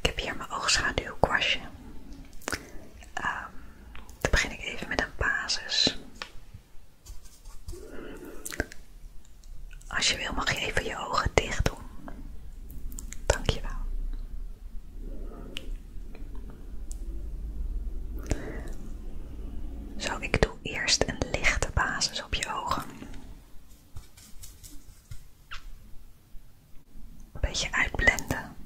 Ik heb hier mijn oogschaduw kwastje. Ehm, dan begin ik even met een basis. Als je wil mag je even je ogen dicht doen. Dankjewel. Zo, ik doe eerst een lichte basis op je ogen. Een beetje uitblenden.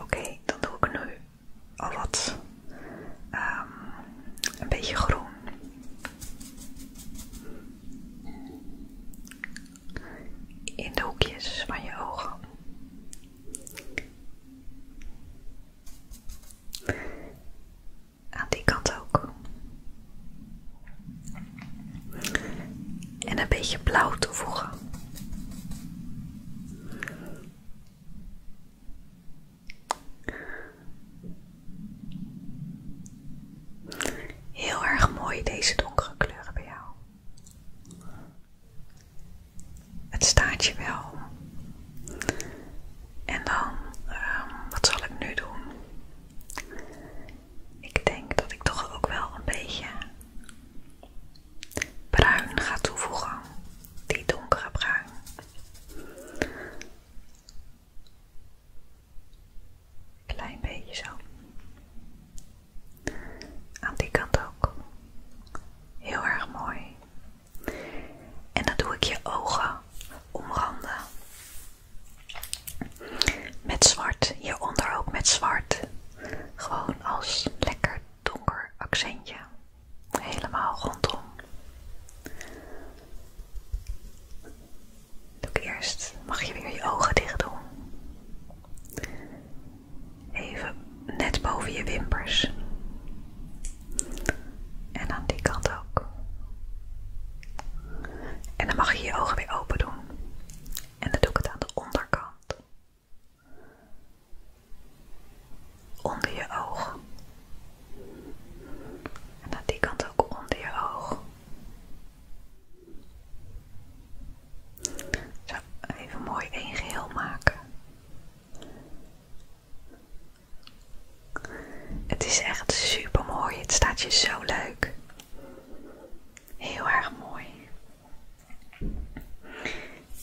Oké, dan doe ik nu al wat. Ehm, een beetje groen. In de hoekjes van je ogen aan die kant ook. En een beetje blauw toevoegen. Heel erg mooi deze donkere kleuren bij jou het staat je wel. En dan, ehm, wat zal ik nu doen? Ik denk dat ik toch ook wel een beetje bruin ga toevoegen. Die donkere bruin. Klein beetje zo. Aan die kant ook. Heel erg mooi. En dan doe ik je ogen omranden. Met zwart, je onder ook met zwart. Gewoon als lekker donker accentje. Helemaal rondom. Doe eerst, mag je weer je ogen dicht doen. Even net boven je wimpers. En aan die kant ook. En dan mag je je ogen weer open doen. En dan doe ik het aan de onderkant. Onder je oog. En aan die kant ook onder je oog. Zo, even mooi één geheel maken. Het is echt super mooi. Het staat je zo leuk. Heel erg mooi.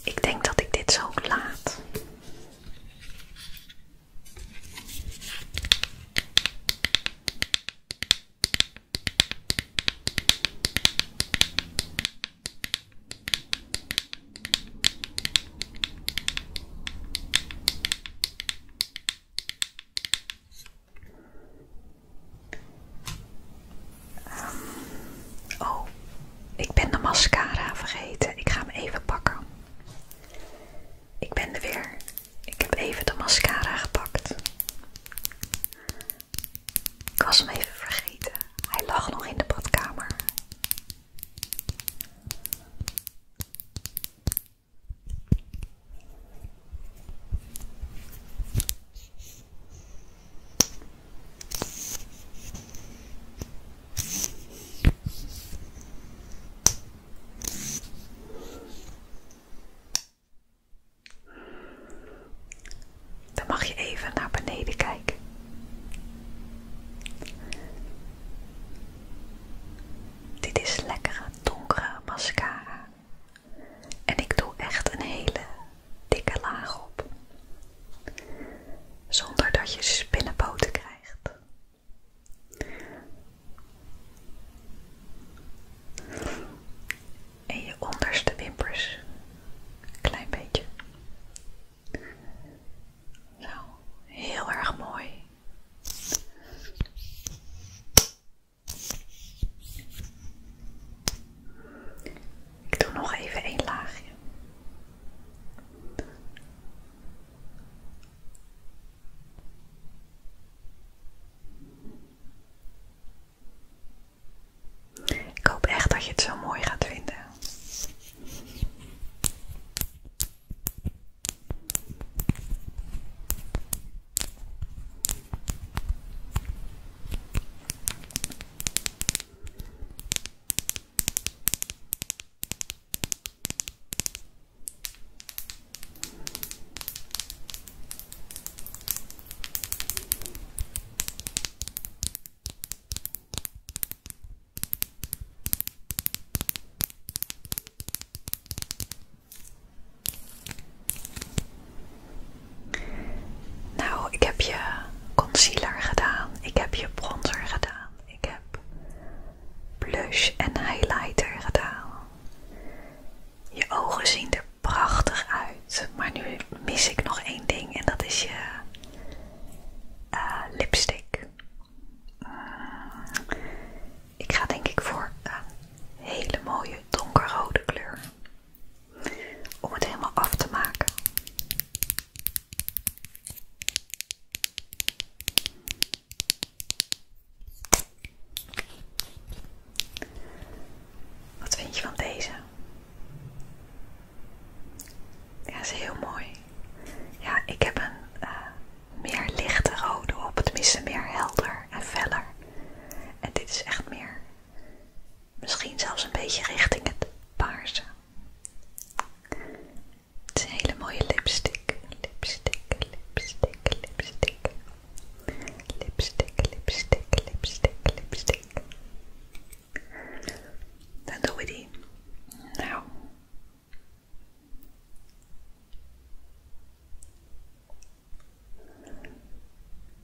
Ik denk dat ik dit zo laat. Ehm, oh, ik ben de mascara vergeten. Ik ga hem even pakken. Ik ben er weer. Ik heb even de mascara gepakt. Ik was hem even vergeten. Hij lag nog in de badkamer. Dan mag je even naar beneden kijken. Dit is lekkere donkere mascara. En ik doe echt een hele dikke laag op. Zonder dat je spinnenpoten krijgt en je onderste wimpers. klein beetje. Zo, heel erg mooi. Ik doe nog even één laagje. Ik hoop echt dat je het zo mooi gaat vinden. Nou, ik heb je concealer gedaan, ik heb je bronzer gedaan, ik heb blush en highlighter gedaan. Je ogen zien er prachtig uit, maar nu mis ik nog één ding en dat is je eh, lipstick. Mm, ik ga denk ik voor een hele mooie donkerrode kleur om het helemaal af te maken. Wat vind je van deze? Ja, is heel mooi. Ja, ik heb een eh, meer lichte rode op, Het tenminste meer helder en veller. En dit is echt meer, misschien zelfs een beetje richting het paarse. Het is een hele mooie lipstick. Lipstick, lipstick, lipstick. Lipstick, lipstick, lipstick, lipstick. Dan doen we die. Nou.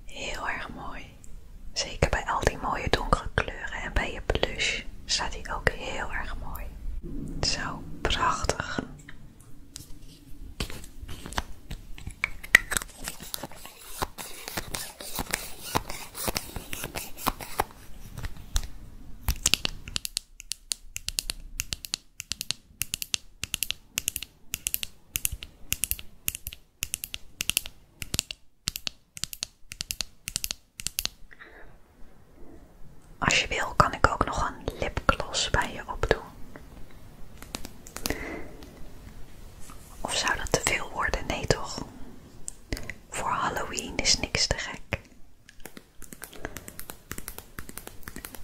Heel erg mooi. Zeker bij al die mooie donkere kleuren en bij je blush staat die ook heel erg mooi. Zo prachtig. Als je wil, kan ik ook nog een lipgloss bij je opdoen. Of zou dat te veel worden? Nee toch? Voor Halloween is niks te gek.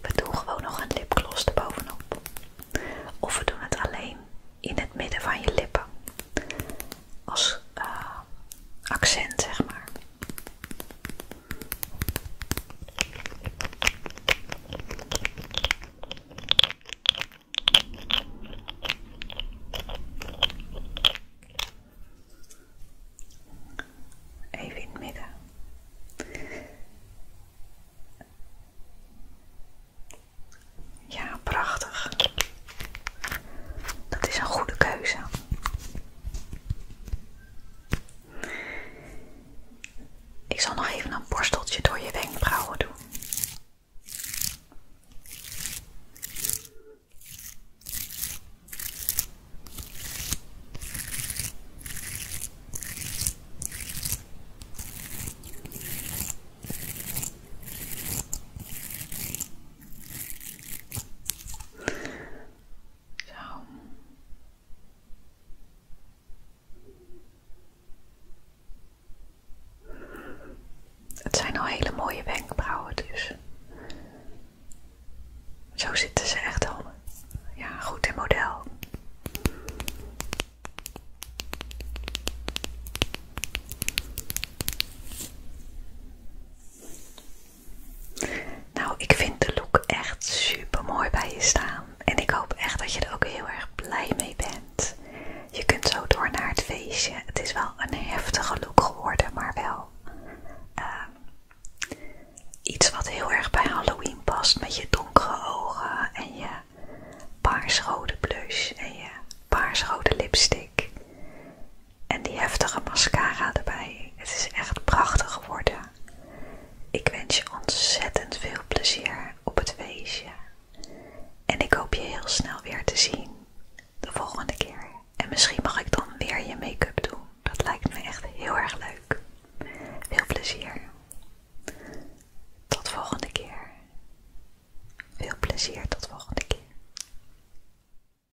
We doen gewoon nog een lipgloss erbovenop. Of we doen het alleen in het midden van je lippen. Als eh, accent, zeg maar. Even in Ja, prachtig. Dat is een goede keuze. Ik zal nog even een borsteltje door je wenkbrauwen doen. Het zijn al hele mooie wenkbrauwen dus. Zo zitten ze echt al. Ja, goed in model. Nou, ik vind de look echt super mooi bij je staan. En ik hoop echt dat je er ook heel erg blij mee bent. Je kunt zo door naar het feestje. Het is wel een heftige look geworden, maar wel ehm, iets wat heel erg bij Halloween past. Met je donkere ogen en je paarsrode blush en je paarsrode lipstick. En die heftige mascara erbij. Het is echt prachtig geworden. Ik wens je ontzettend veel plezier op het feestje. En ik hoop je heel snel weer te zien. De volgende keer. En misschien mag ik dan weer je make-up doen. Dat lijkt me echt heel erg leuk. Veel plezier. Tot volgende keer. Veel plezier tot volgende keer.